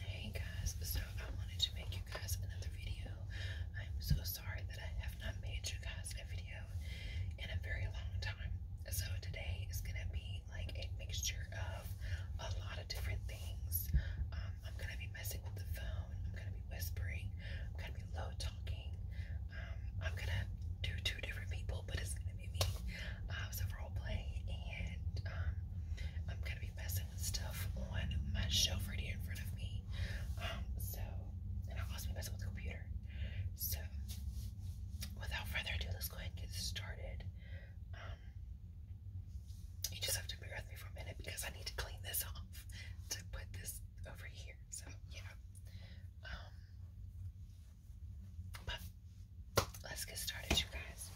Hey guys, so I wanted to make you guys another video. I'm so sorry that I have not made you guys a video in a very long time. So today is gonna be like a mixture of a lot of different things. Um, I'm gonna be messing with the phone, I'm gonna be whispering, I'm gonna be low talking, um, I'm gonna do two different people, but it's gonna be uh, a role play, and um, I'm gonna be messing with stuff on my shelf right here in front of me. Um, so, and I'll also be messing with the computer. So, without further ado, let's go ahead and get started. Um, you just have to bear with me for a minute because I need to clean this off to put this over here. So, yeah. but let's get started, you guys.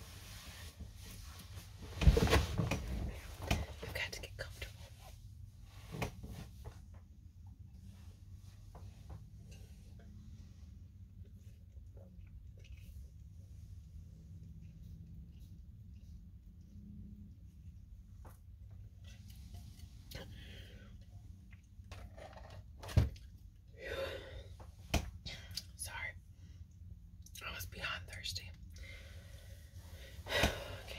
You've got to get comfortable. Sorry. I was beyond thirsty. Okay.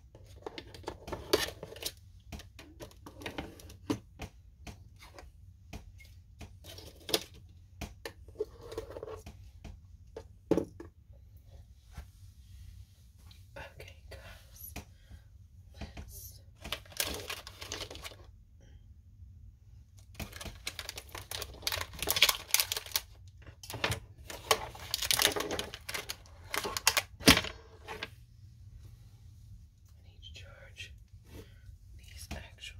Okay, guys, let's and each charge. These actually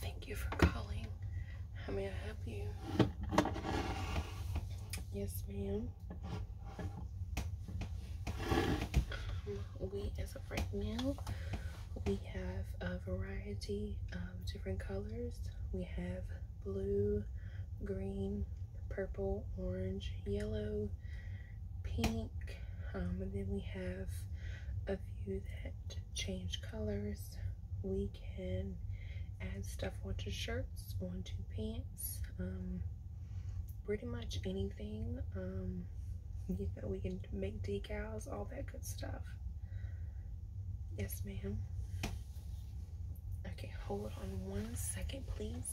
Thank you for calling. How may I help you? Yes, ma'am. we, as of right now, we have a variety of different colors. We have blue, green, purple, orange, yellow, pink. Um, and then we have a few that change colors. We can add stuff onto shirts, onto pants, um, pretty much anything. Um, we can make decals, all that good stuff. Yes, ma'am. Okay, hold on one second, please.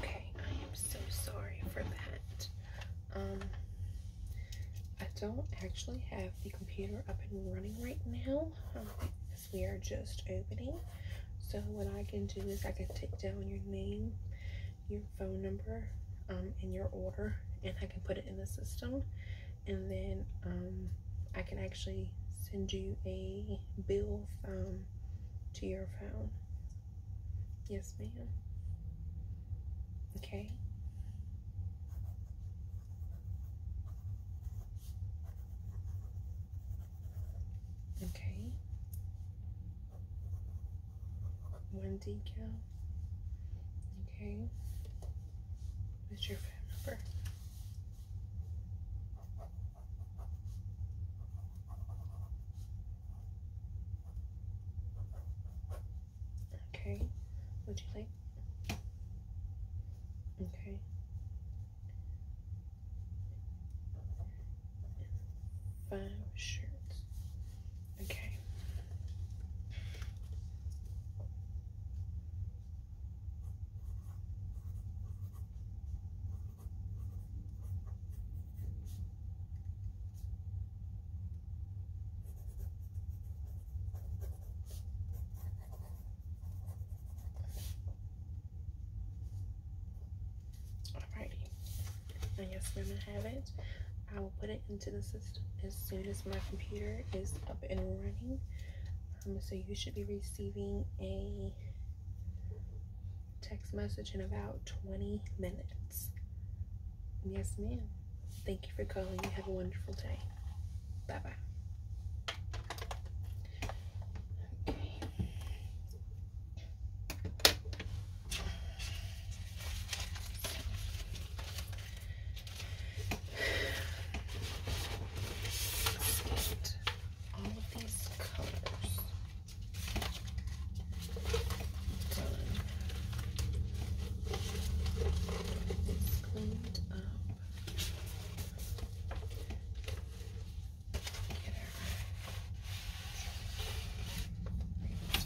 Okay, I am so sorry for that. Um, I don't actually have the computer up and running right now um, as we are just opening. So what I can do is I can take down your name, your phone number, um, and your order, and I can put it in the system. And then um, I can actually send you a bill um, to your phone. Yes, ma'am. Okay. Okay. One decal. Okay. What's your phone number? Okay, would you like? Okay. Five shirts. Okay. Alrighty, and yes, we're gonna have it. I will put it into the system as soon as my computer is up and running. Um, so you should be receiving a text message in about 20 minutes. Yes, ma'am. Thank you for calling. You have a wonderful day. Bye bye. Okay. all of these colors done. It's cleaned up.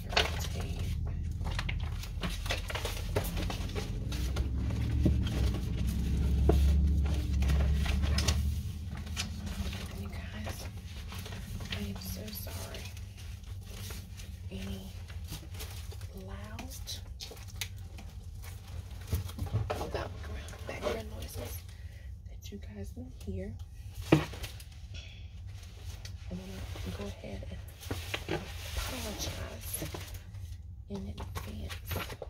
Get our tape. You guys, I am so sorry. Any loud background, noises that you guys will hear. I'm gonna go ahead and apologize in advance for that.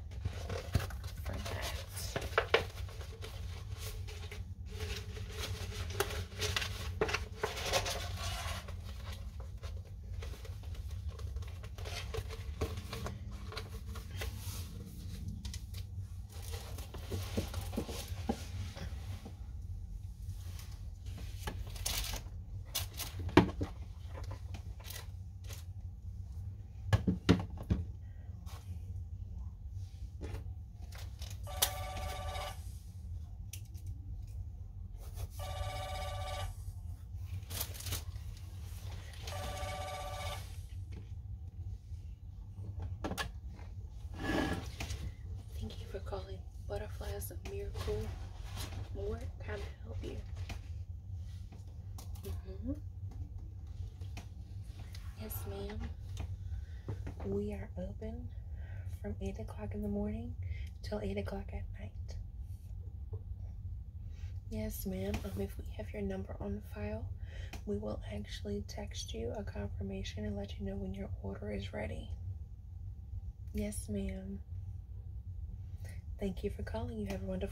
Thank you for calling Butterflies a Miracle. What help you. Mm-hmm. Yes, ma'am. We are open from 8 o'clock in the morning till 8 o'clock at night. Yes, ma'am. Um, if we have your number on file, we will actually text you a confirmation and let you know when your order is ready. Yes, ma'am. Thank you for calling. You have a wonderful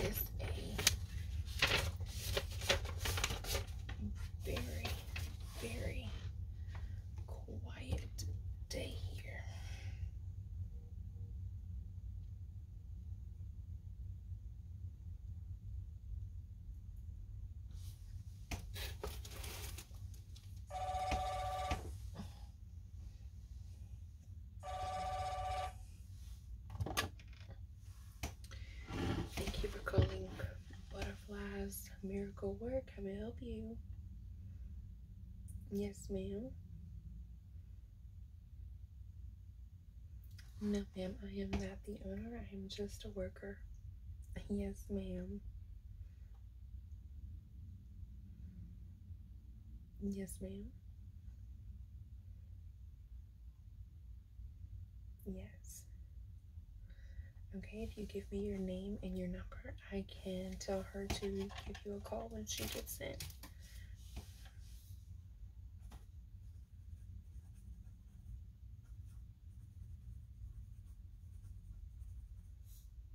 This a very, very quiet day here. Thank you for calling Butterflies Miracle Work. How may I help you? Yes, ma'am. No, ma'am, I am not the owner. I am just a worker. Yes, ma'am. Yes, ma'am. Yes. Okay, if you give me your name and your number, I can tell her to give you a call when she gets in.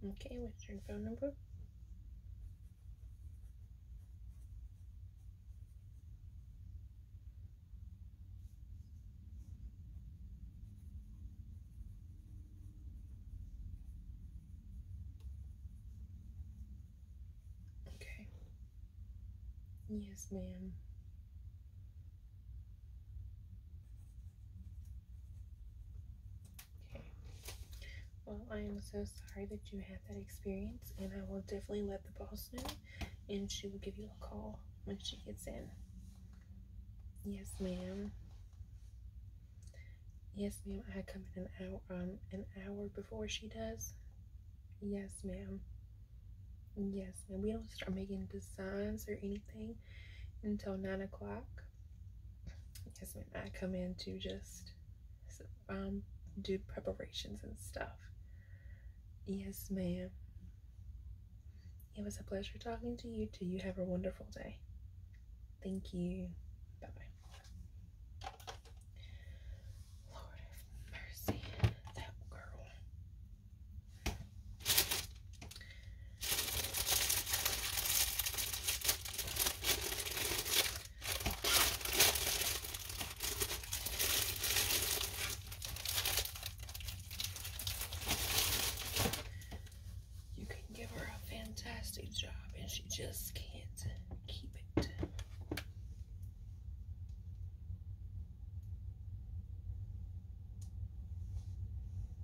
Okay, What's your phone number. Okay. Yes, ma'am. Okay. Well, I am so sorry that you had that experience, and I will definitely let the boss know, and she will give you a call when she gets in. Yes, ma'am. Yes, ma'am. I come in an hour um an hour before she does. Yes, ma'am. Yes, ma'am. We don't start making designs or anything until nine o'clock. Yes, ma'am. I come in to just um, do preparations and stuff. Yes, ma'am. It was a pleasure talking to you too. You have a wonderful day. Thank you. Bye Lord have mercy. That girl. You can give her a fantastic job and she just can't keep it.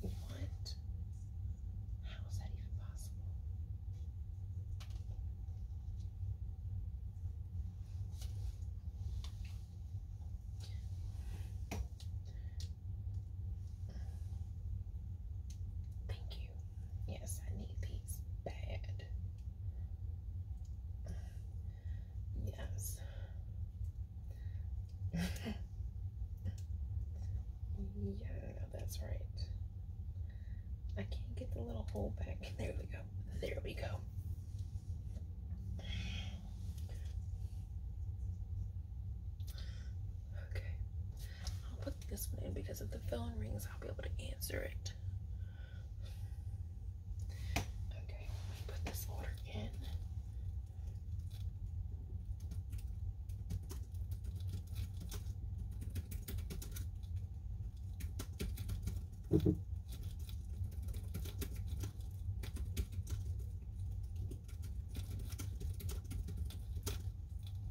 What? How is that even possible? Thank you. Yes, I need these bad. Yes. yeah, that's right. I can't get the little hole back. There we go. There we go. Okay. I'll put this one in because if the phone rings, I'll be able to answer it. Okay, let me put this order in.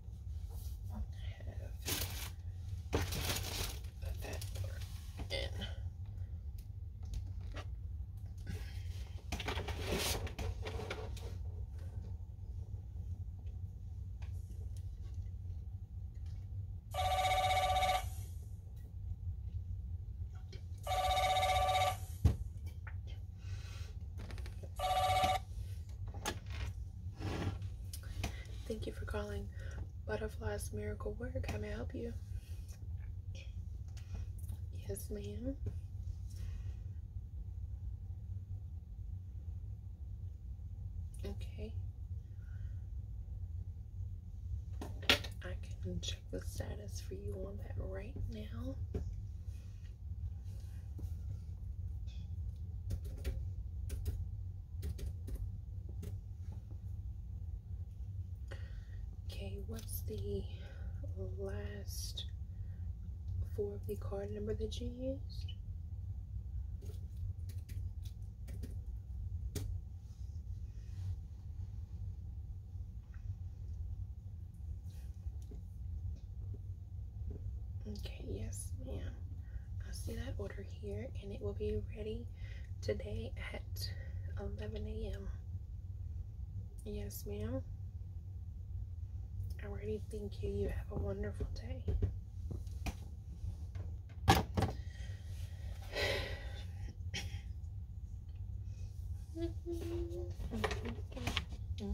have that part in. Thank you for calling Butterfly's Miracle Work. How may I help you? Yes, ma'am. Okay. I can check the status for you on that right now. Okay, what's the last four of the card number that you used? Okay, yes, ma'am. see that order here and it will be ready today at 11 a.m. Yes, ma'am. I already thank you. You have a wonderful day. Mm-hmm.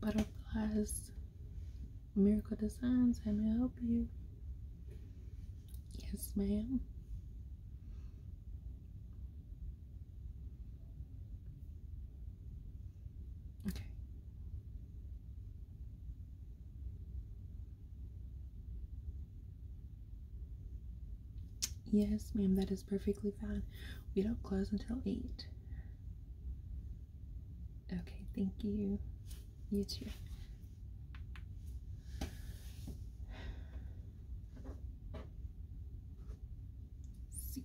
Butterflies Miracle Designs. How may I help you? Yes, ma'am. Okay. Yes, ma'am, that is perfectly fine. We don't close until 8. Okay, thank you. You too. see.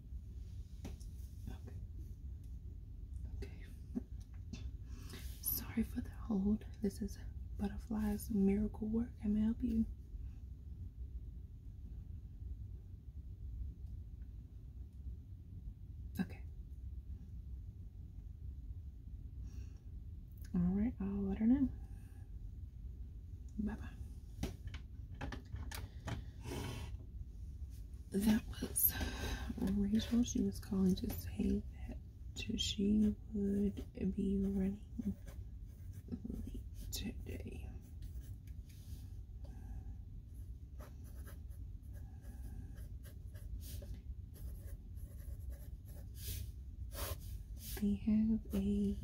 Okay. Okay. Sorry for the hold. This is Butterflies Miracle Work. I may help you. Okay. All right, I'll let her know. Bye bye that was Rachel. She was calling to say that she would be running late today. We have a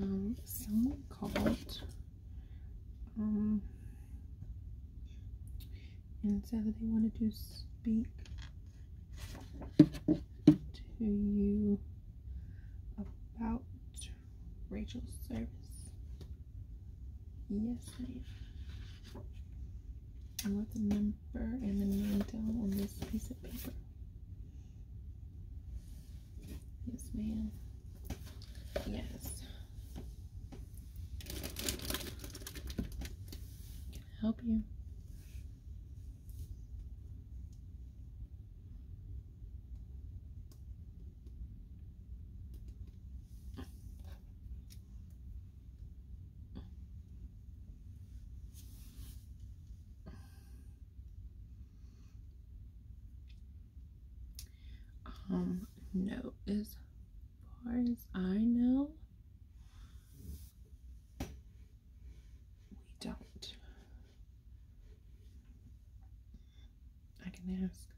um, song called um, and it that they wanted to speak to you about Rachel's service. Yes, ma'am. I want the number and the name down on this piece of paper. Yes, ma'am. Yes. Can I help you? Um, no, as far as I know, we don't. I can ask.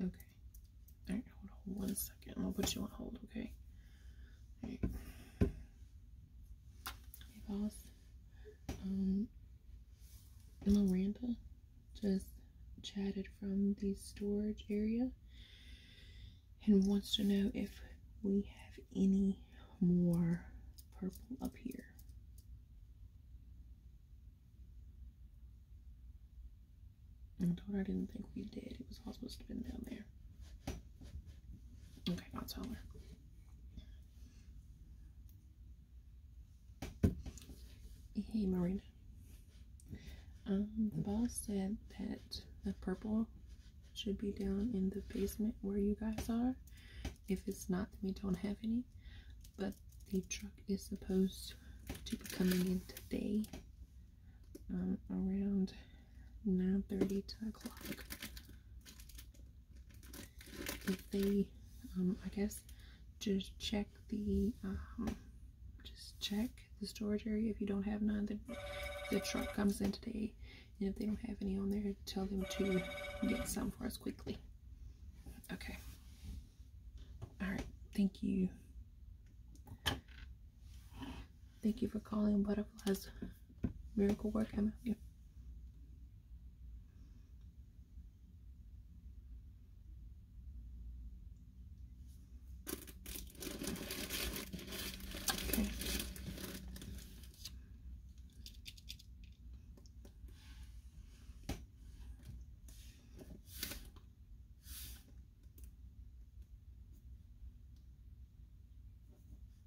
Okay. All right, hold on one second. I'll put you on hold, okay? boss. Um, Miranda just chatted from the storage area and wants to know if we have any more purple up here. I told her I didn't think we did. It was all supposed to be down there. Okay, I'll tell her. Hey, Marina. Um, the boss said that the purple should be down in the basement where you guys are. If it's not, then we don't have any. But the truck is supposed to be coming in today um, around Nine thirty to o'clock. If they, um, I guess, just check the, um, just check the storage area. If you don't have none, the, the truck comes in today. And if they don't have any on there, tell them to get some for us quickly. Okay. All right. Thank you. Thank you for calling Butterflies Miracle work, Emma. Yeah. Okay.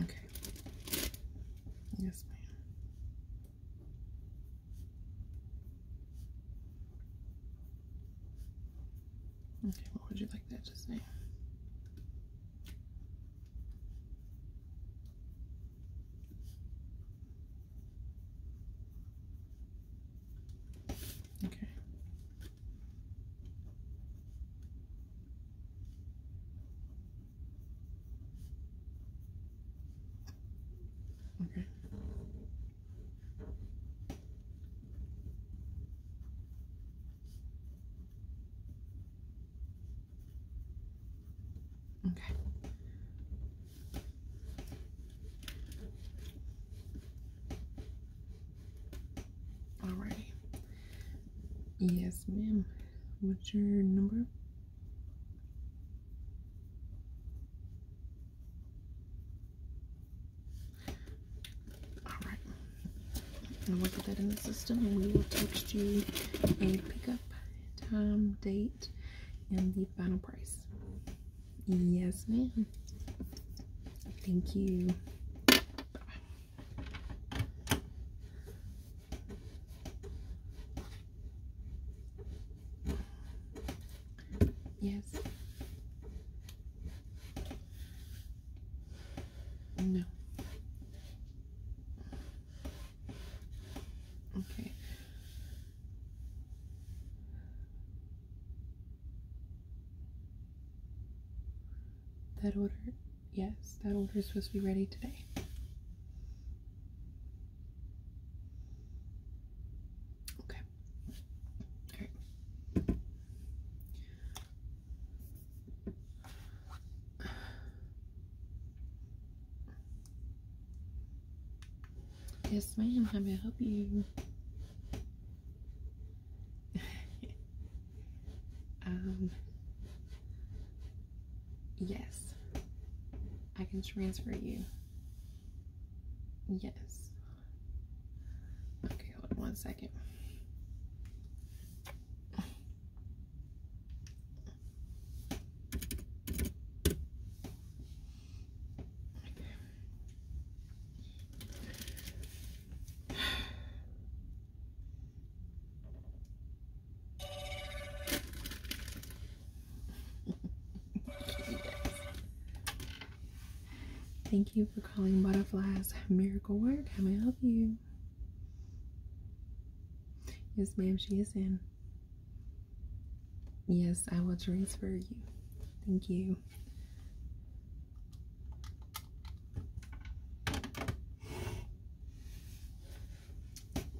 Okay. Yes, ma'am. Okay, what would you like that to say? Okay. Okay. Okay. Alrighty. Yes, ma'am. What's your number? Alright. And we'll get that in the system and we will text you a pickup time, date, and the final price. Yes, ma'am. Thank you. Yes. No. Okay. That order Yes, that order is supposed to be ready today. Okay. Yes, ma'am. How I help you? Um, yes, I can transfer you. Yes. Okay, hold on one second. Thank you for calling Butterflies Miracle Work. How may I help you? Yes, ma'am, she is in. Yes, I will transfer you. Thank you.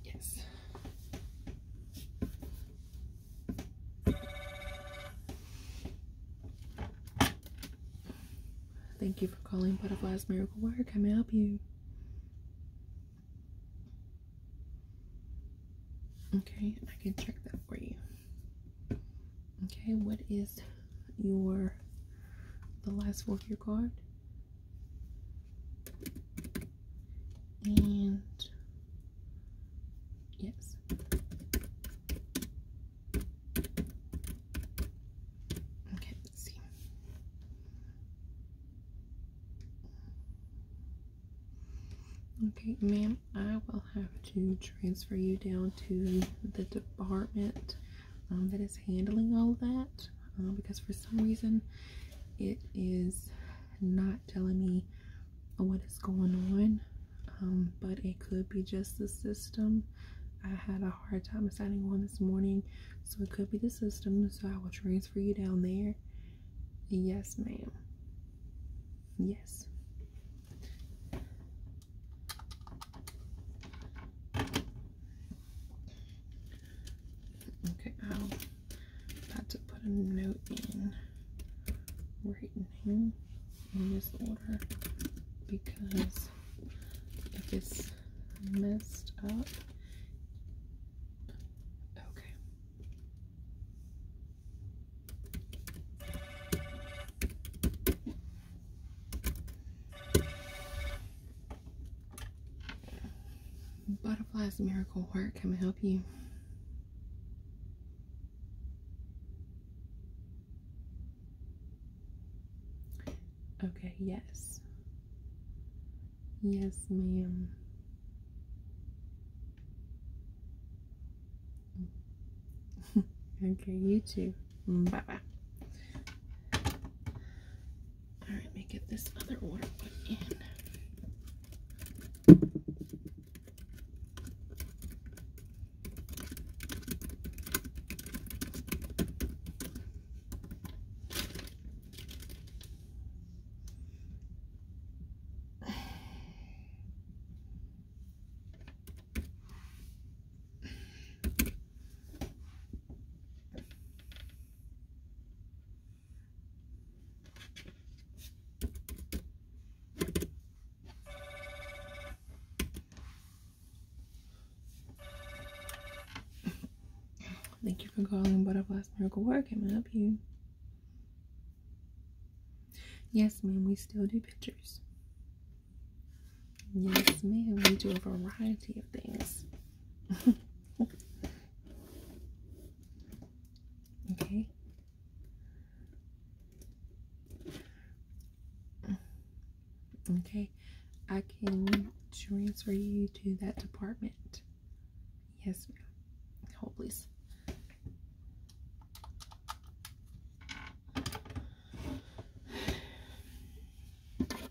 Yes. Thank you for calling Butterflies Miracle Work. How may I help you? Okay, I can check that for you. Okay, what is your the last four of your card? and yes. Okay, let's see. Okay, ma'am, I will have to transfer you down to the department um, that is handling all that uh, because for some reason it is not telling me what is going on um, but it could be just the system I had a hard time assigning one this morning so it could be the system so I will transfer you down there yes ma'am yes Okay, I'm about to put a note in right now in this order because if it's messed up, okay. Butterflies Miracle Work, can I help you? Okay, yes. Yes, ma'am. okay, you too. Mm, bye-bye. All right, let me get this other order put in. Thank you for calling Butterflies Miracle Work. Can I help you? Yes, ma'am, we still do pictures. Yes, ma'am. We do a variety of things. okay. Okay. I can transfer you to that department. Yes, ma'am. Hold, please.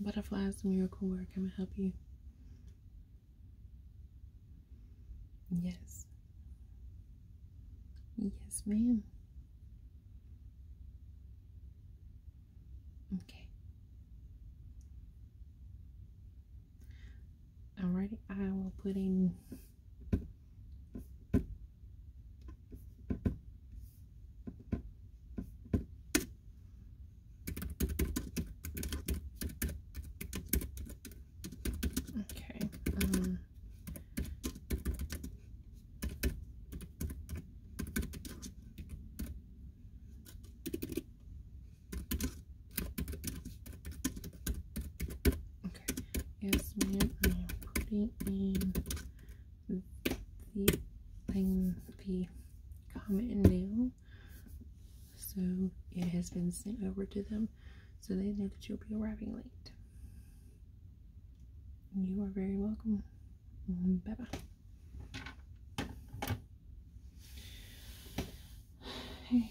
Butterflies, miracle work. i help you. Yes. Yes, ma'am. Okay. Alrighty, I will put in Okay. Um, okay. Yes, ma'am. I am putting in the thing, the comment now. So it has been sent over to them. So they know that you'll be arriving late. You are very welcome. Bye-bye. Hey.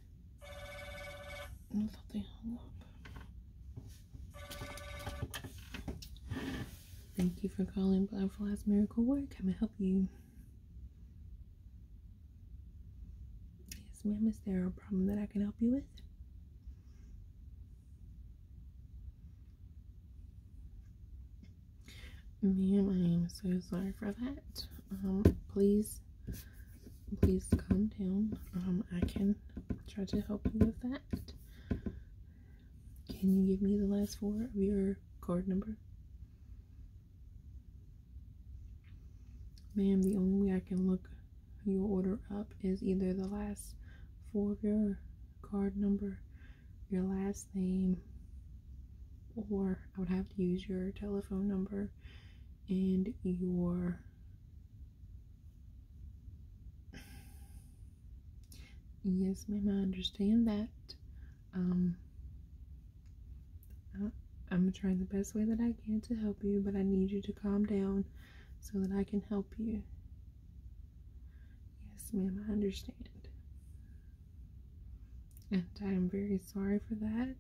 I thought they hung up. Thank you for calling Butterflies Miracle Work. I'm gonna help you? Yes, ma'am. Is there a problem that I can help you with? Me Ma'am, I am so sorry for that. Um, please please calm down. Um, I can try to help you with that. Can you give me the last four of your card number? Ma'am, the only way I can look your order up is either the last four of your card number, your last name, or I would have to use your telephone number and your Yes, ma'am, I understand that. Um, I, I'm trying the best way that I can to help you, but I need you to calm down so that I can help you. Yes, ma'am, I understand. And I am very sorry for that.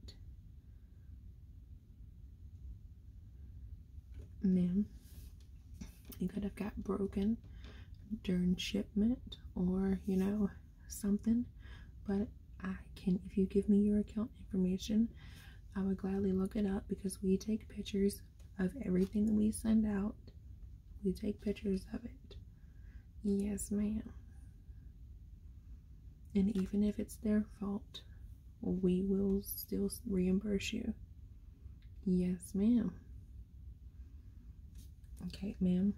Ma'am, it could have got broken during shipment or, you know, something. But I can, if you give me your account information, I would gladly look it up because we take pictures of everything that we send out. We take pictures of it. Yes, ma'am. And even if it's their fault, we will still reimburse you. Yes, ma'am. Okay, ma'am.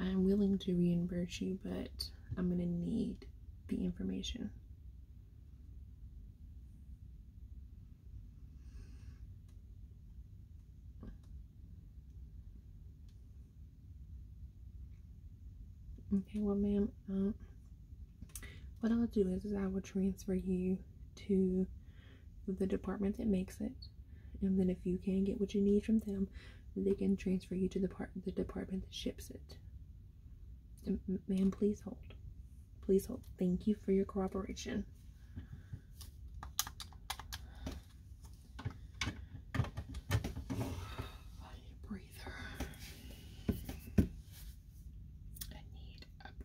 I'm willing to reimburse you, but I'm going to need the information. Okay, well, ma'am, um, what I'll do is, is I will transfer you to the department that makes it, and then if you can get what you need from them, they can transfer you to the part the department that ships it. Ma'am, please hold. Please hold. Thank you for your cooperation breather. I need a breather.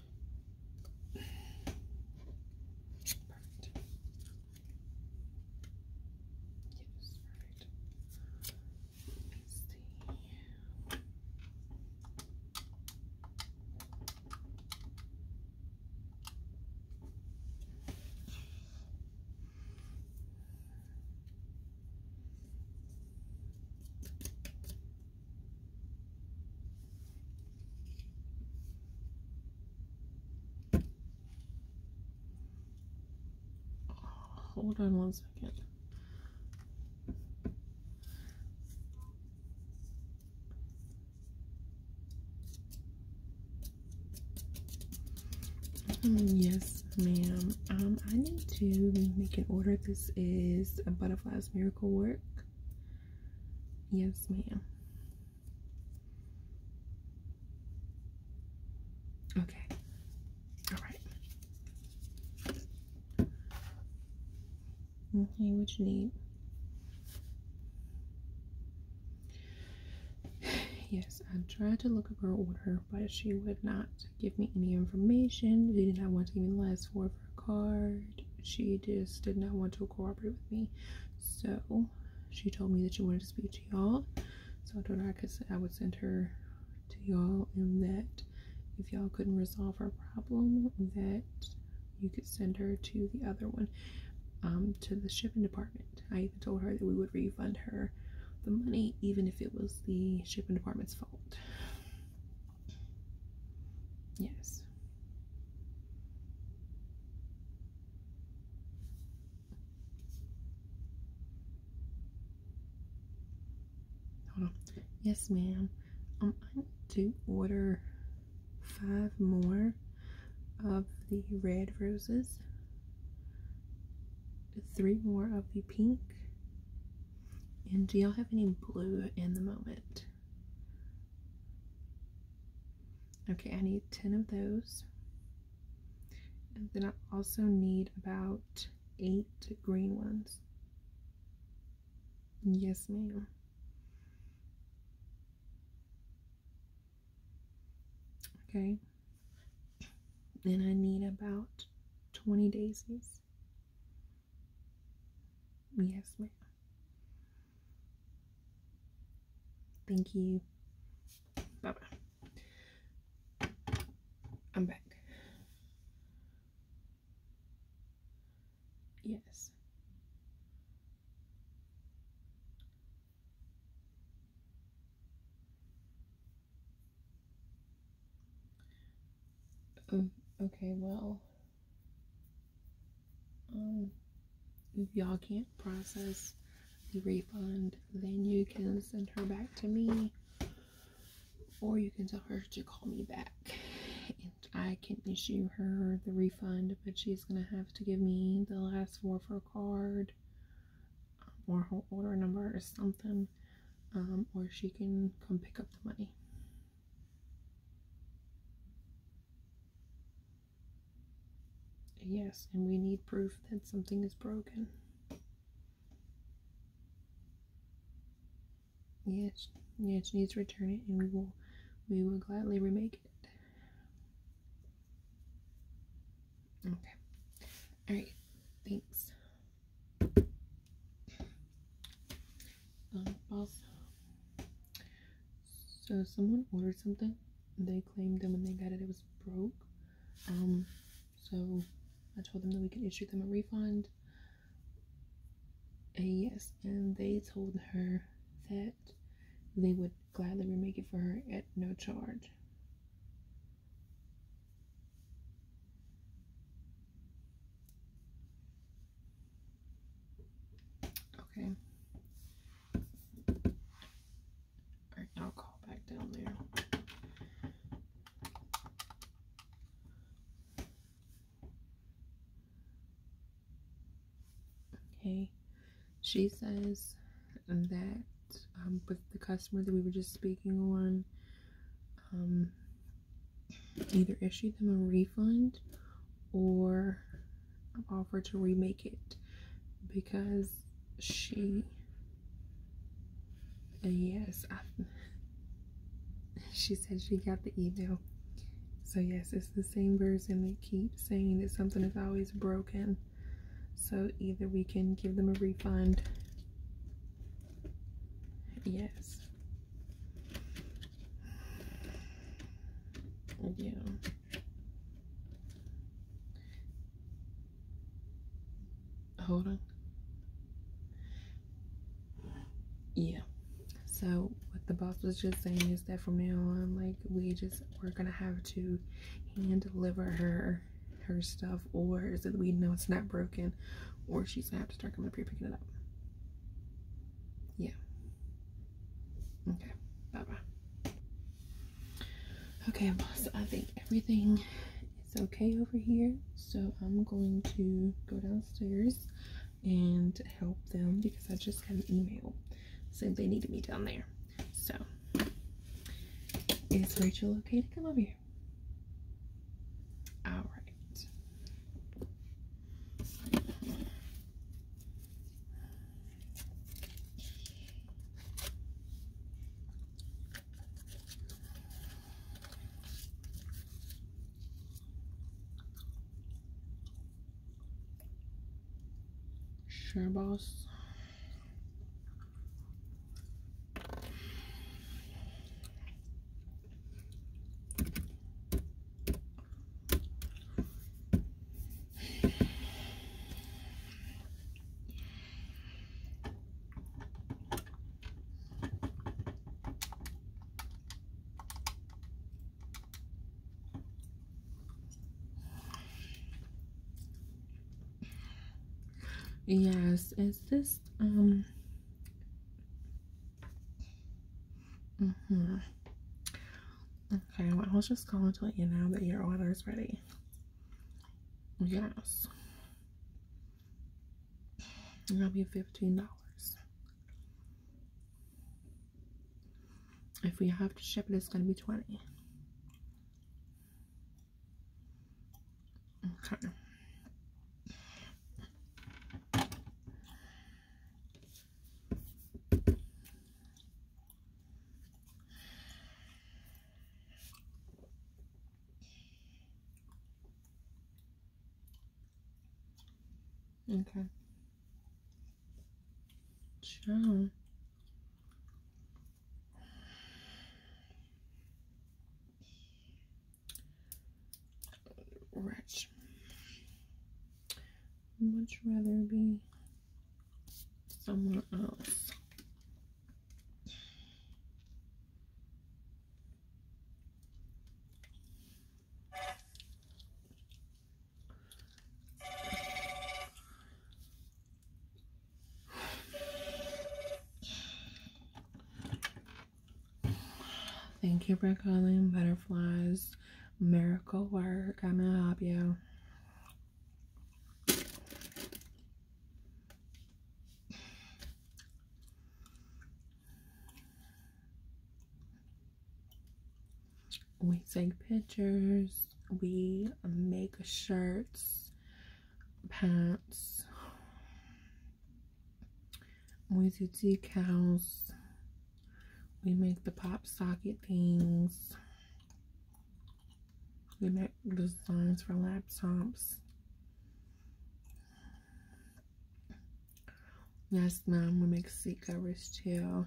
Perfect. Yes, perfect. Let me see. Hold on one second. Um, yes, ma'am. Um, I need to make an order. This is a Butterflies Miracle Work. Yes, ma'am. Okay. All right. Okay, what you need? Yes, I tried to look up her order, but she would not give me any information. She did not want to even last for card. She just did not want to cooperate with me. So she told me that she wanted to speak to y'all. So I told her I could I would send her to y'all and that if y'all couldn't resolve her problem that you could send her to the other one, um, to the shipping department. I even told her that we would refund her the money even if it was the shipping department's fault. Yes. Hold on. Yes, ma'am. Um, I need to order five more of the red roses, three more of the pink, and do y'all have any blue in the moment? Okay, I need 10 of those. And then I also need about eight green ones. Yes, ma'am. Okay. Then I need about 20 daisies. Yes, ma'am. Thank you. Bye bye. I'm back. Yes. Um, okay, well. Um, if y'all can't process the refund, then you can send her back to me, or you can tell her to call me back. And I can issue her the refund, but she's gonna have to give me the last four of card um, or her order number or something, um, or she can come pick up the money. Yes, and we need proof that something is broken. Yes, yes, needs to return it and we will we will gladly remake it. Okay. Alright, thanks um, so someone ordered something they claimed that when they got it it was broke um so i told them that we could issue them a refund and yes and they told her that they would gladly remake it for her at no charge Okay. Alright, I'll call back down there. Okay. She says that um, with the customer that we were just speaking on, um, either issue them a refund or offer to remake it because she yes she said she got the email so yes it's the same person that keeps saying that something is always broken so either we can give them a refund yes yeah. Hold on. Yeah. So what the boss was just saying is that from now on, like we just we're gonna have to hand deliver her her stuff, or is it we know it's not broken, or she's gonna have to start coming up here picking it up. Yeah. Okay, bye-bye. Okay, boss, I think everything is okay over here. So I'm going to go downstairs and help them because I just got an email saying they needed me down there. So, is Rachel okay to come over here? All right. Sure, boss. Yes, is this um Mm hmm Okay, I was just calling to let you know that your order is ready. Yes. That'll be $15. If we have to ship it, it's going to be 20 Okay. Okay. Sure. Rich much rather be someone else. Thank you for calling Butterflies miracle work. I'm gonna help you. We take pictures, we make shirts, pants, we do decals, we make the pop socket things. We make the designs for laptops. Yes, ma'am. we make seat covers too.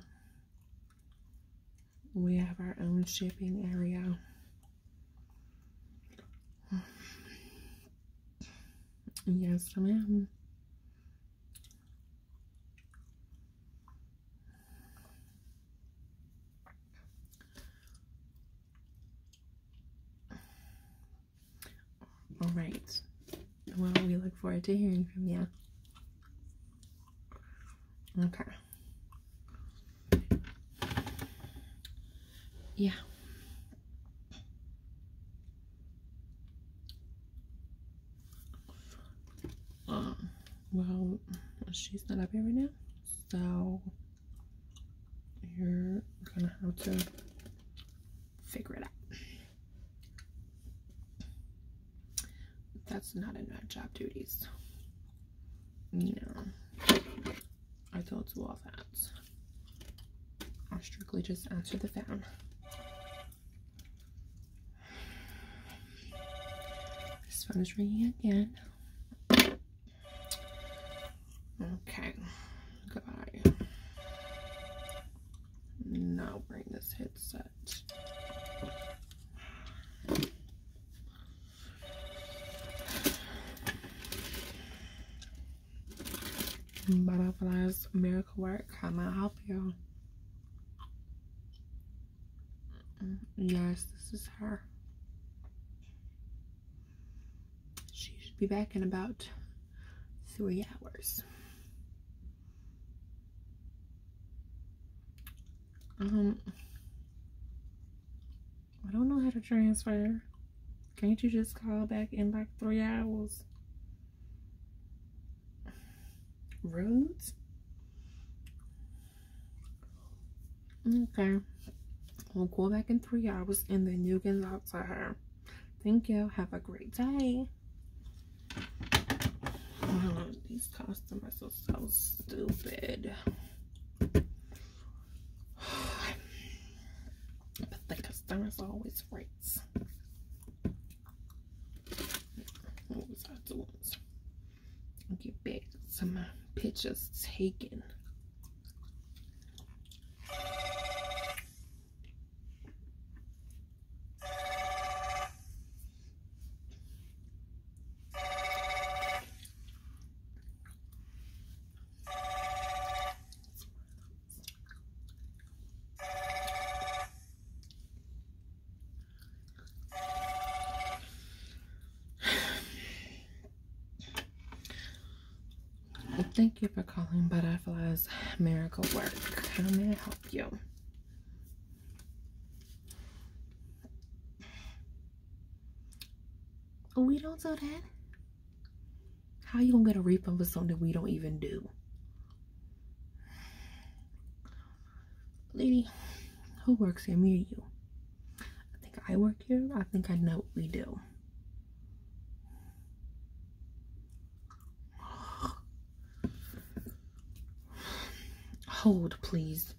We have our own shipping area. Yes, ma'am. All right. Well, we look forward to hearing from you. Okay. Yeah. Um, well, she's not up here right now, so you're gonna have to figure it out. That's not in my job duties. No, know, I told you all that. I strictly just answer the phone. This phone is ringing again. Okay, got Now bring this headset. Butterflies Miracle Work. How may I help you? Yes, this is her. She should be back in about three hours. Um, I don't know how to transfer. Can't you just call back in like three hours? roads. Okay. We'll go back in three hours and then you can talk to her. Thank you. Have a great day. Oh, these customers are so stupid. But the customers always right. I'll get back to my pictures taken. Thank you for calling Butterflies Miracle Work. How may I help you? We don't do that. How you gonna get a refund for something we don't even do? Lady, who works here? near you? I think I work here. I think I know what we do. Hold, please.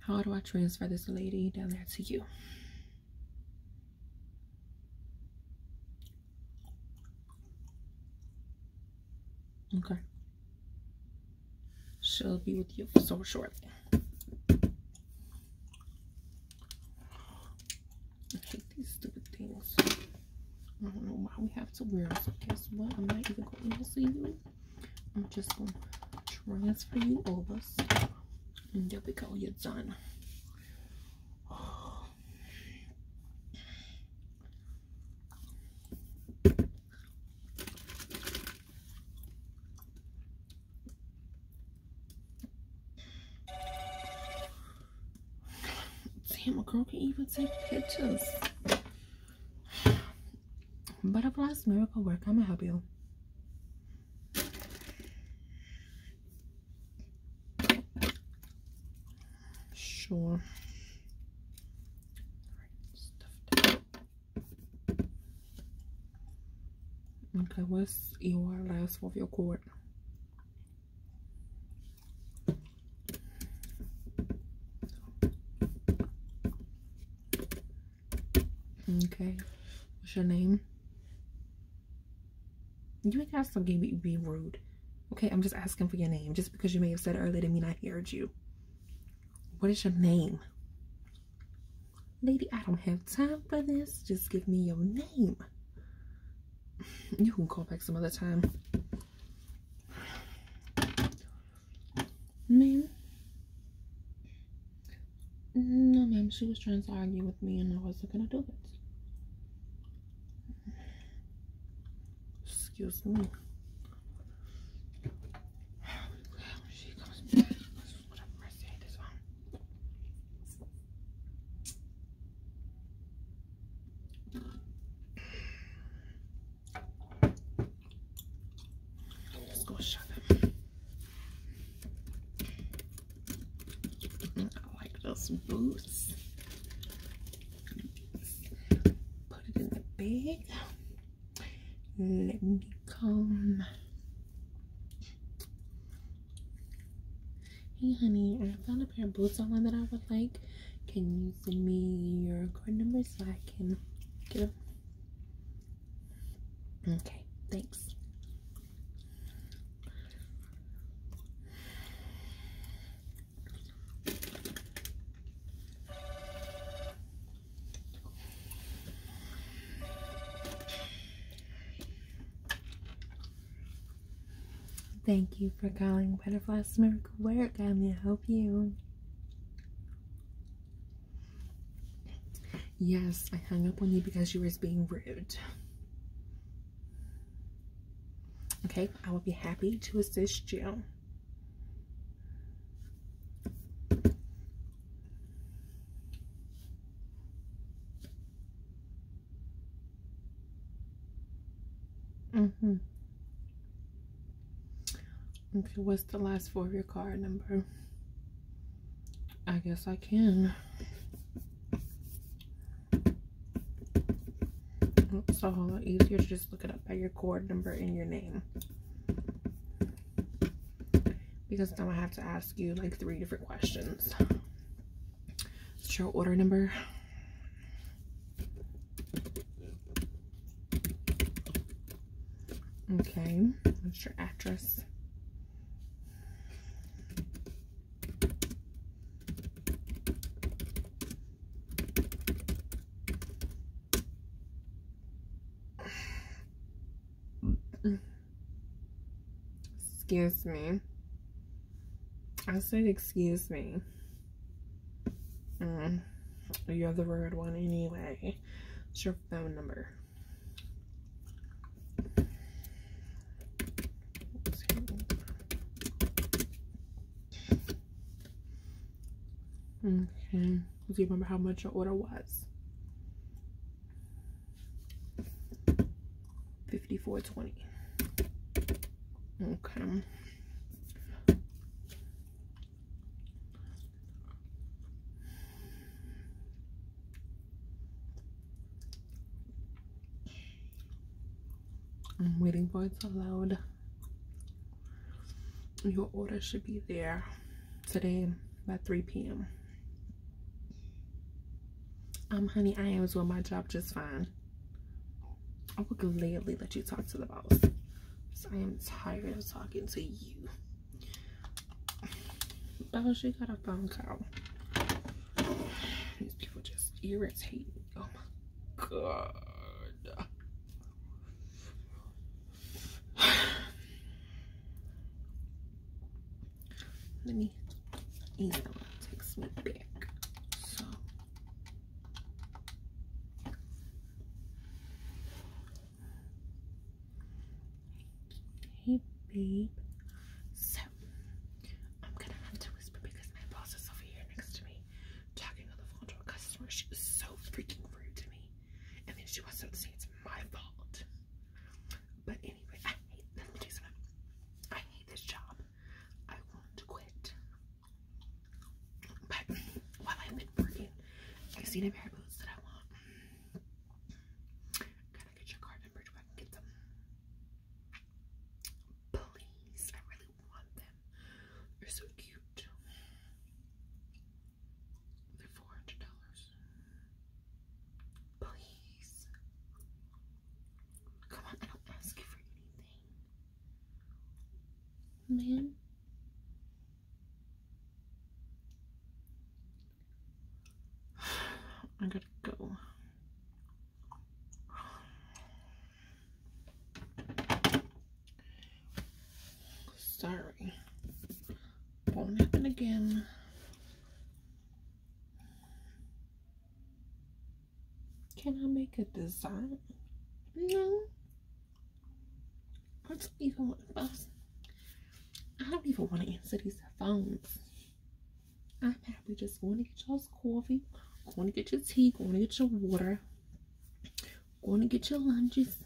How do I transfer this lady down there to you? Okay. She'll be with you so shortly. I hate these stupid things. I don't know why we have to wear them. So guess what? I'm not even going to see you. I'm just going to transfer you over. And there we go. You're done. Damn, a girl can even take pictures. Butterflies miracle work. I'm gonna help you. Sure. Okay, what's your last four of your cord? Okay. What's your name? You ain't gotta stop being be rude. Okay, I'm just asking for your name. Just because you may have said earlier to mean I heard you. What is your name? Lady, I don't have time for this. Just give me your name. You can call back some other time. Ma'am? No, ma'am. She was trying to argue with me and I wasn't going to do it. Excuse me. Let's go shut them. I like those boots. Put it in the bag. Let me come. Hey, honey, I found a pair of boots online that I would like. Can you send me your card number so I can get them? Okay, thanks. Thank you for calling Butterfly's Miracle Work. I'm going to help you. Yes, I hung up on you because you was being rude. Okay, I will be happy to assist you. Mm-hmm. Okay, what's the last four of your card number? I guess I can. It's a whole lot easier to just look it up by your card number and your name. Because then I have to ask you like three different questions. What's your order number? Okay, what's your address? Excuse me. I said, excuse me. Mm, you have the wrong one anyway. What's your phone number? Okay. Do you remember how much your order was? 5420. Okay. I'm waiting for it to load. Your order should be there today by 3 p.m. Um, honey, I am doing my job just fine. I would gladly let you talk to the boss. I am tired of talking to you. Boss, you got a phone call. These people just irritate me. Oh my god let me email takes me back. So hey babe. So I'm gonna have to whisper because my boss is over here next to me talking on the phone to a customer. She was so freaking rude to me. And then she wants to say it's my fault. But anyway, I hate let me tell something. I hate this job. I want to quit. But while I've been working, I see the pair of boots that I want. Can I get your card number so I can get them? Please, I really want them. They're so cute. They're four hundred dollars. Please. Come on, I don't ask you for anything. Man. I gotta go. Sorry. Won't happen again. Can I make a design? No. I don't even want to I don't even want to answer these phones. I'm happy just going to get y'all's coffee, going to get your tea, going to get your water, going to get your lunches.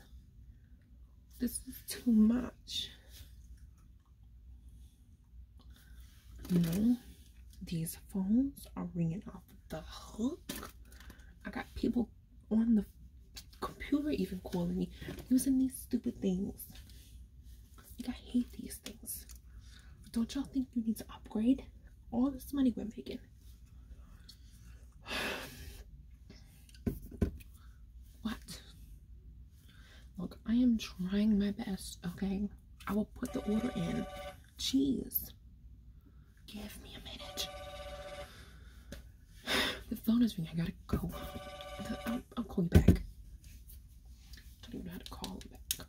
This is too much. No, these phones are ringing off the hook. I got people on the computer even calling me using these stupid things. I hate these things. Don't y'all think you need to upgrade? All this money we're making. What? Look, I am trying my best, okay? I will put the order in. Jeez. Give me a minute. The phone is ringing. I gotta go. I'll, call you back. don't even know how to call back.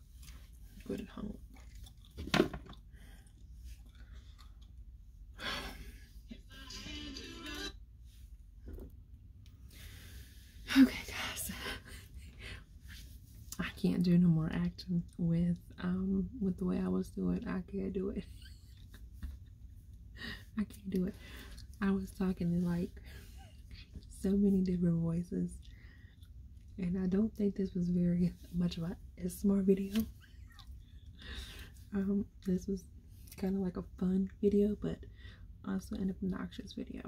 Good and hung Okay, guys. I can't do no more acting with um with the way I was doing. I can't do it. I can't do it. I was talking to like so many different voices. And I don't think this was very much of a SMR video. um, this was kind of like a fun video, but also an obnoxious video.